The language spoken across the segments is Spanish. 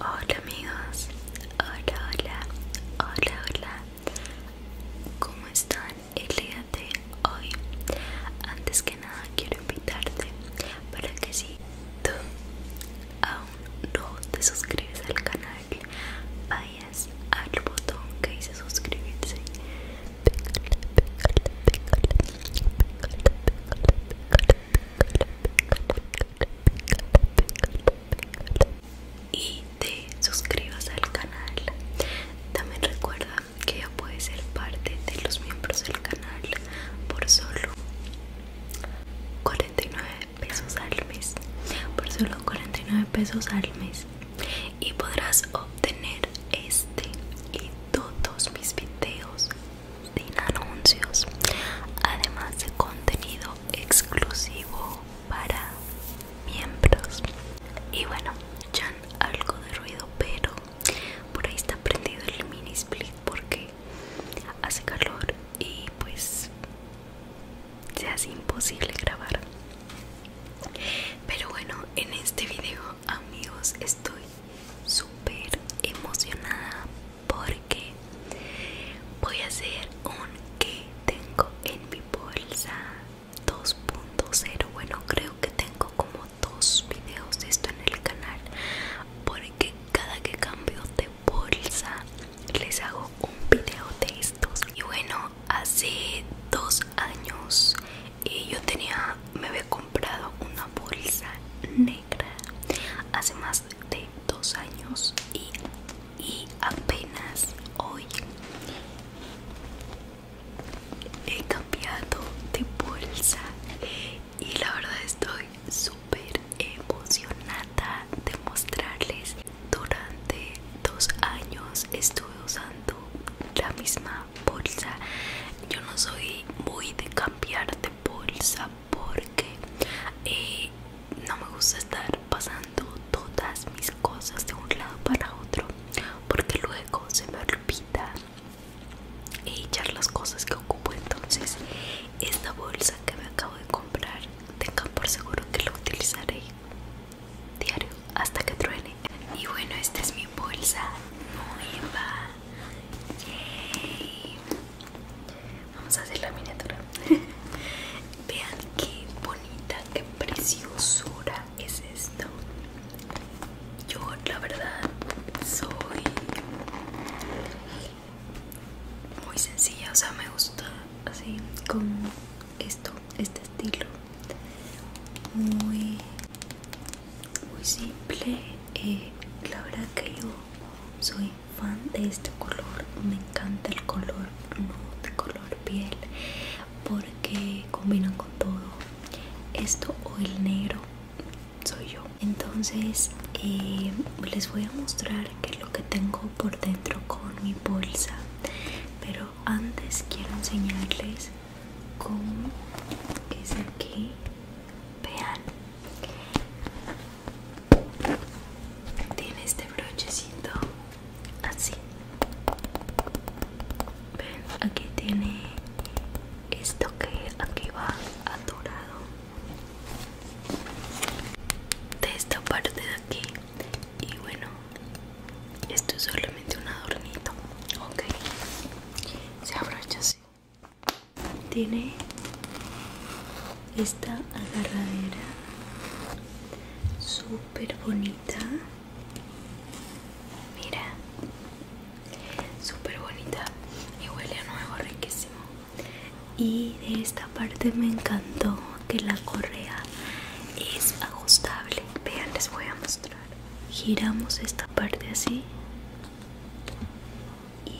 Hola amigos, hola, hola, hola, hola, ¿cómo están el día de hoy? Antes que nada quiero invitarte para que si tú aún no te suscribes al canal, vayas al botón que dice suscribirse, y te suscribas al canal también recuerda que ya puedes ser parte de los miembros del canal por solo 49 pesos al mes por solo 49 pesos al mes y podrás obtener este y todos mis videos sin anuncios, además de contenido exclusivo para miembros. Y bueno, ya algo de ruido, pero por ahí está prendido el mini split porque hace calor y pues se hace imposible grabar. Pero bueno, en este video amigos estoy súper emocionada porque voy a hacer un que tengo en mi bolsa 2.0 bueno creo que tengo como dos videos de esto en el canal porque cada que cambio de bolsa les hago un video de estos y bueno hace dos años y yo tenía me había comprado una bolsa negra hace más de dos años y, y apenas hoy he cambiado de bolsa y la verdad estoy súper emocionada de mostrarles durante dos años estuve usando la misma bolsa yo no soy muy de cambiar de bolsa porque eh, no me gusta estar pasando todas mis cosas de un lado para otro porque luego se me olvida echar las cosas que ocupo entonces esta bolsa que me acabo de comprar tengan por seguro que la utilizaré diario hasta que truene y bueno esta es mi bolsa nueva Yay. vamos a hacer la miniatura vean qué bonita qué preciosura es esto yo la verdad soy muy sencilla o sea me gusta así con esto este estilo muy muy simple eh, la verdad que yo soy fan de este color me encanta el color de color piel porque combinan con todo esto o el negro soy yo entonces eh, les voy a mostrar que es lo que tengo por dentro con mi bolsa pero antes quiero enseñarles como es aquí vean tiene este brochecito así ven aquí tiene esto que aquí va atorado de esta parte de aquí y bueno esto es solamente un adornito. Ok. Se abrocha así. Tiene esta agarradera súper bonita. Mira. Súper bonita. Y huele a nuevo riquísimo. Y de esta parte me encantó que la correa es ajustable. Vean, les voy a mostrar giramos esta parte así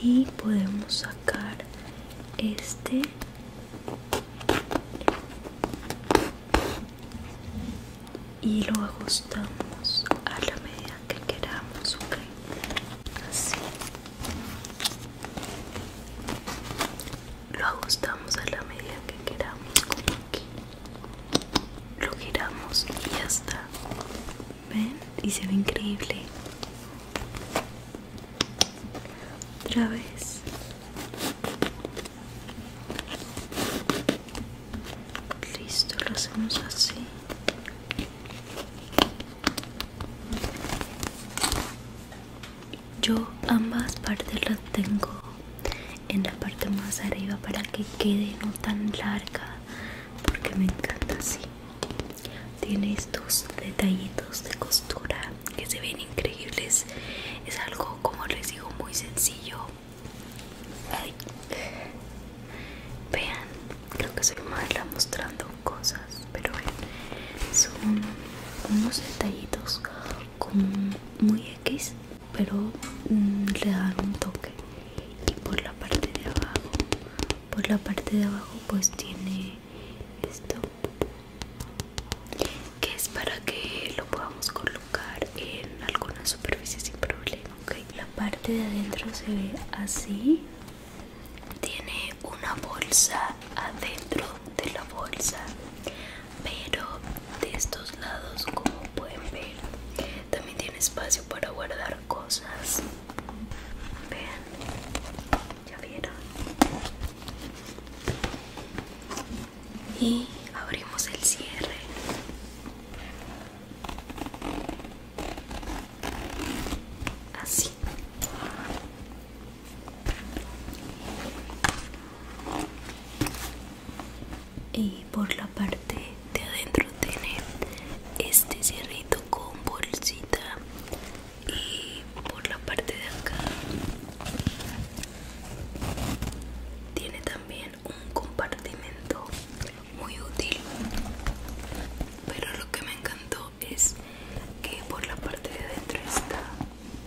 y podemos sacar este y lo ajustamos a la medida que queramos ok así lo ajustamos a la medida que queramos aquí lo giramos y ya está ven y se ve increíble otra vez listo lo hacemos así yo ambas partes las tengo en la parte más arriba para que quede no tan larga porque me encanta así tiene estos detallitos de costura que se ven increíbles es algo como les digo muy sencillo vean creo que soy mala mostrando cosas pero son unos detallitos como muy x pero mm, le dan un toque y por la parte de abajo por la parte de abajo pues tiene esto que es para que lo podamos colocar en alguna superficie sin problema la parte de adentro se ve así tiene una bolsa adentro de la bolsa pero de estos lados como pueden ver también tiene espacio para guardar cosas vean ya vieron y abrimos el cierre así y por la parte de adentro tiene este cierrito con bolsita y por la parte de acá tiene también un compartimento muy útil pero lo que me encantó es que por la parte de adentro está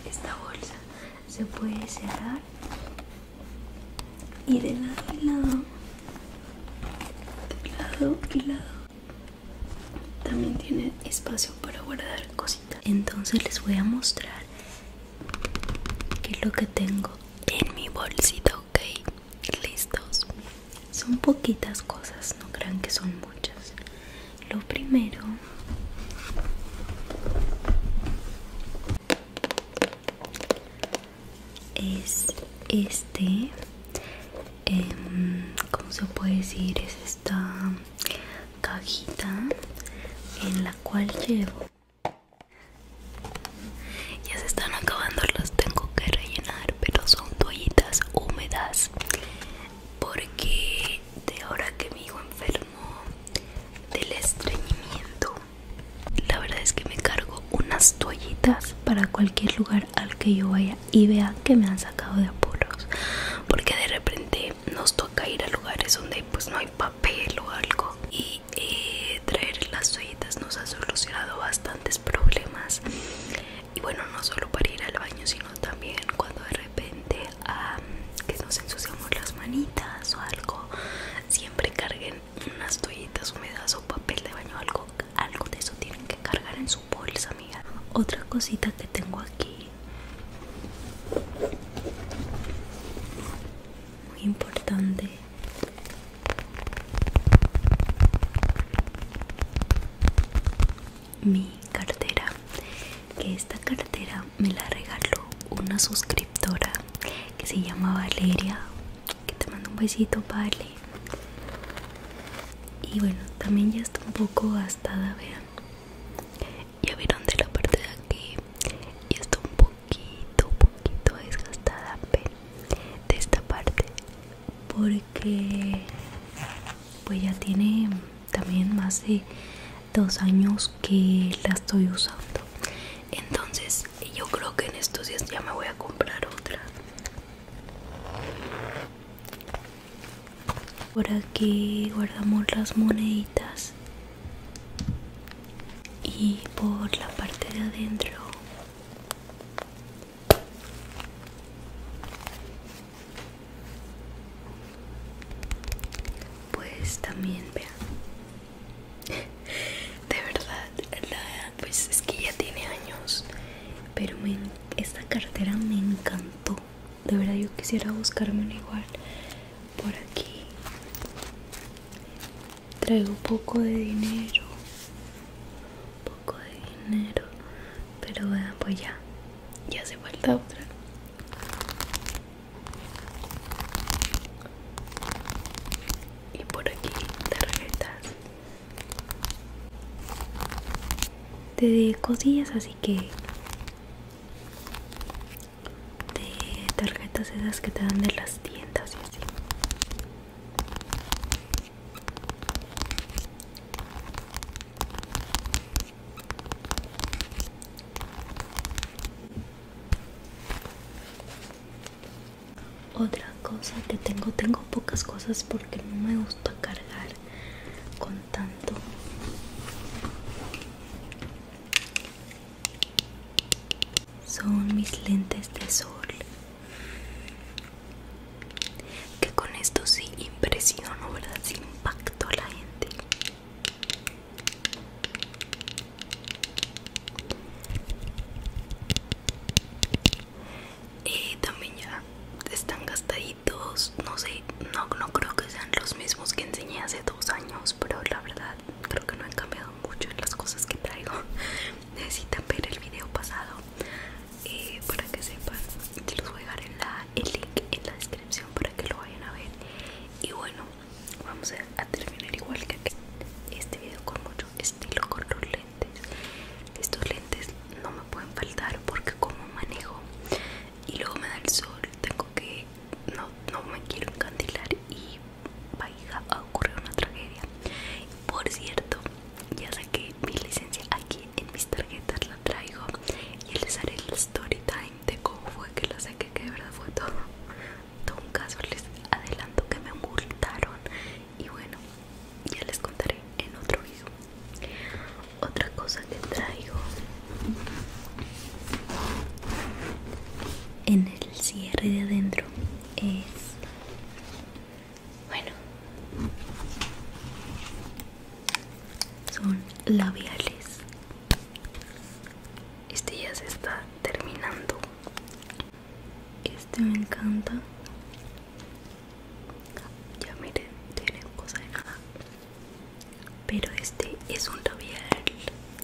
esta bolsa se puede cerrar y de lado y lado de lado y lado también tiene espacio para guardar cositas entonces les voy a mostrar qué es lo que tengo en mi bolsita ok listos son poquitas cosas no crean que son muchas lo primero es este em, ¿Cómo como se puede decir es esta cajita en la cual llevo ya se están acabando los tengo que rellenar pero son toallitas húmedas porque de ahora que me hijo enfermo del estreñimiento la verdad es que me cargo unas toallitas para cualquier lugar al que yo vaya y vean que me han sacado de apuros porque de repente nos toca ir a lugares donde pues no hay papel o algo y eh, traer las toallitas nos ha solucionado bastantes problemas y bueno no solo para ir al baño sino también cuando de repente Ah, que nos ensuciamos las manitas o algo, siempre carguen unas toallitas húmedas o papel de baño, algo, algo de eso tienen que cargar en su bolsa, amiga. Otra cosita que tengo aquí, muy importante mi cartera que esta cartera me la regaló una suscriptora que se llama Valeria que te mando un besito Vale y bueno también ya está un poco gastada vean ya vieron de la parte de aquí ya está un poquito poquito desgastada de esta parte porque pues ya tiene también más de dos años que la estoy usando entonces yo creo que en estos días ya me voy a comprar otra por aquí guardamos las moneditas y por la parte de adentro pues también, vean. De verdad, la, pues es que ya tiene años. Pero esta cartera me encantó. De verdad, yo quisiera buscarme un igual. Por aquí traigo poco de dinero. Poco de dinero. Pero vean, pues ya y hace vuelta otra y por aquí tarjetas de cosillas así que de tarjetas esas que te dan de las tiendas y así otra cosa que tengo, tengo pocas cosas porque no me gusta cargar con tanto. Son mis lentes de sol que con esto sí impresionó, ¿verdad? Sí impactó a la gente. Y eh, también ya están gastaditos, no sé, no, no creo que sean los mismos que enseñé hace dos años, pero la verdad creo que no han cambiado mucho en las cosas que traigo. Necesitan ver el video pasado. Eh, para que sepan yo los voy a dejar la, el link en la descripción para que lo vayan a ver y bueno vamos a, terminar igual que este video con mucho estilo con los lentes estos lentes no me pueden faltar porque como manejo y luego me da el sol tengo que no, no me quiero encandilar y vaya a ocurrir una tragedia por cierto ya saqué mi licencia aquí en mis tarjetas la traigo y les haré el story time de cómo fue que lo saqué que de verdad fue todo, un caso les adelanto que me multaron y bueno ya les contaré en otro video otra cosa que traigo en el cierre de adentro es bueno, son labiales. Este ya se está terminando. Este me encanta. Ya miren, tiene cosa de nada. Pero este es un labial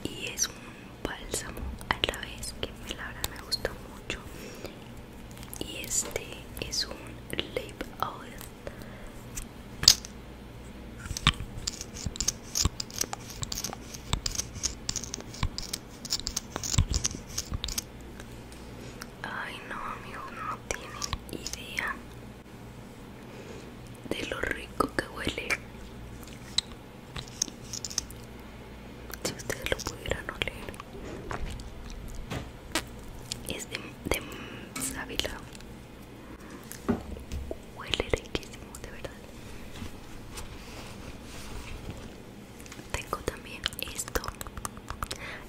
y es un bálsamo a la vez que me la verdad me gusta mucho y este es un lip oil Ay no amigo, no tiene idea de lo rico que huele. Si ustedes lo pudieran oler es de, de sábila huele riquísimo de verdad tengo también esto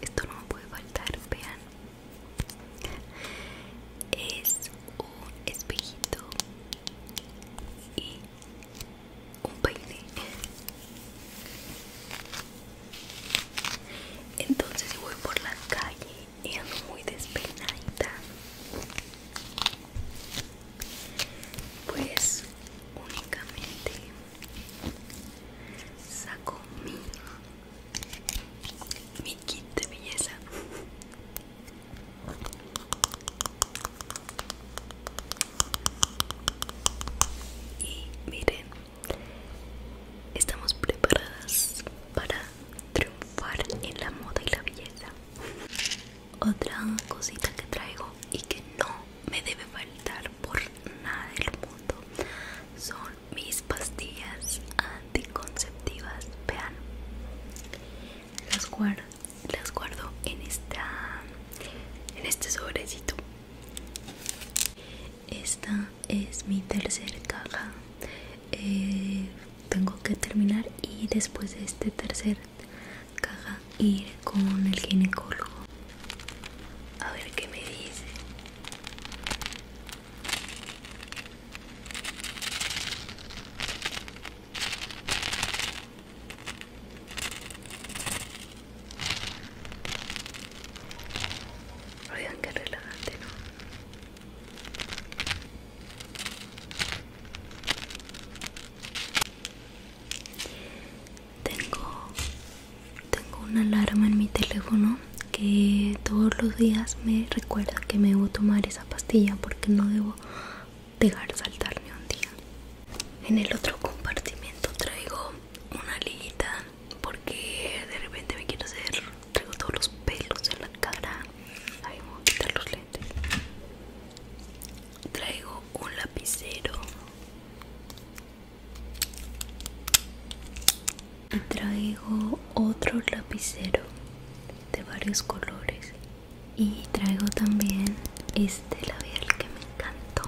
esto no me puede faltar vean es un espejito y un peine entonces voy por la calle y ando muy despeinada, Pues únicamente saco mi, mi kit de belleza. Y miren, Estamos preparadas para triunfar en la moda y la belleza. Otra cosita que traigo y que no me debe faltar por nada del mundo son mis pastillas anticonceptivas. Vean, las guardo, las guardo en esta, en este sobrecito esta es mi tercer caja. Eh, tengo que terminar y después de este tercer caja ir con el ginecólogo. A ver qué me dice. Oigan, qué relajante, Tengo, tengo una alarma en mi teléfono que todos los días me recuerda que me debo tomar esa pastilla porque no debo dejar saltarme un día. En el otro compartimento traigo una liguita porque de repente me quiero hacer traigo todos los pelos en la cara ahí voy a quitar los lentes traigo un lapicero traigo otro lapicero de varios colores y traigo también este labial que me encantó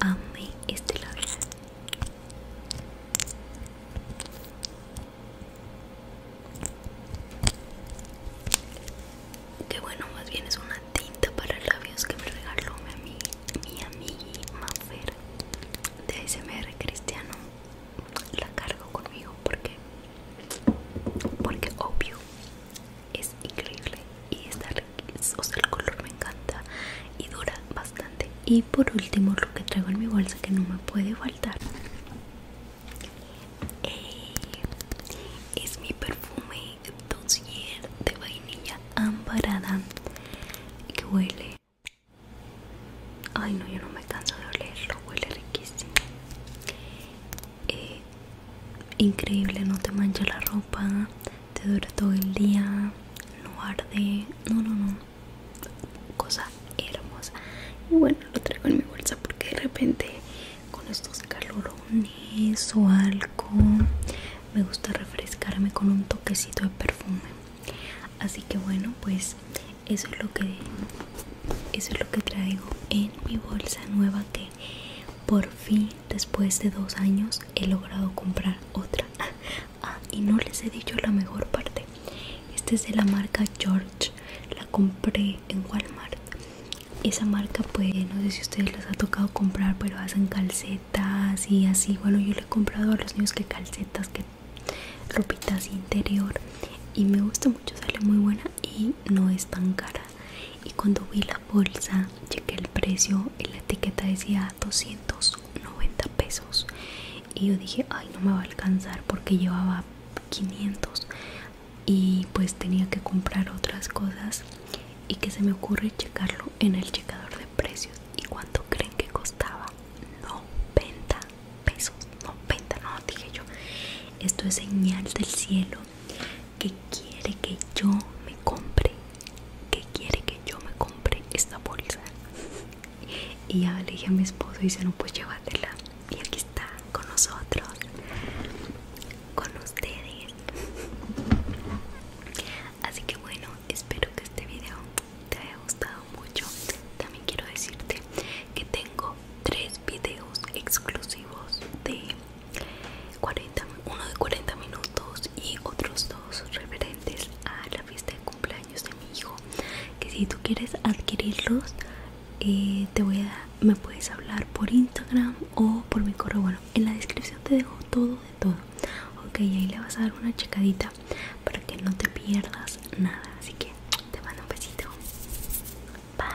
a mí este labial que bueno más bien es una tinta para labios que me regaló mi, mi amigui de ASMR Cristiano la cargo conmigo porque porque obvio es increíble y está riquísimo, o sea el color me encanta y dura bastante y por último lo que traigo en mi bolsa que no me puede faltar eh, es mi perfume dossier de vainilla amparada que huele ay no yo no me canso de olerlo huele riquísimo eh, increíble, no te mancha la ropa, te dura todo el día, no arde, no, no, no, cosa hermosa. Y bueno, lo traigo en mi bolsa porque de repente con estos calorones o algo me gusta refrescarme con un toquecito de perfume. Así que bueno, pues eso es lo que eso es lo que traigo en mi bolsa nueva que por fin, después de dos años, he logrado comprar otra. Ah, ah, y no les he dicho la mejor parte. Esta es de la marca George. La compré en Walmart. Esa marca, pues, no sé si ustedes les ha tocado comprar, pero hacen calcetas y así. Bueno, yo le he comprado a los niños que calcetas, que ropitas interior. Y me gusta mucho, sale muy buena y no es tan cara y cuando vi la bolsa cheque el precio y la etiqueta decía 290 pesos y yo dije ay no me va a alcanzar porque llevaba 500 y pues tenía que comprar otras cosas y que se me ocurre checarlo en el checador de precios y cuánto creen que costaba 90 pesos 90 no dije yo esto es señal del cielo que quiere que yo me compre, que quiere que yo me compre esta bolsa. Y ya le dije a mi esposo y dice, no, pues llévatela. Y aquí está, con nosotros, con ustedes. Así que bueno, espero que este video te haya gustado mucho. También quiero decirte que tengo tres videos exclusivos de 40, uno de 40 minutos y otros dos referentes a la fiesta de cumpleaños de mi hijo que si tú quieres adquirirlos eh, te voy a me puedes hablar por Instagram o por mi correo bueno en la descripción te dejo todo de todo ok ahí le vas a dar una checadita para que no te pierdas nada así que te mando un besito bye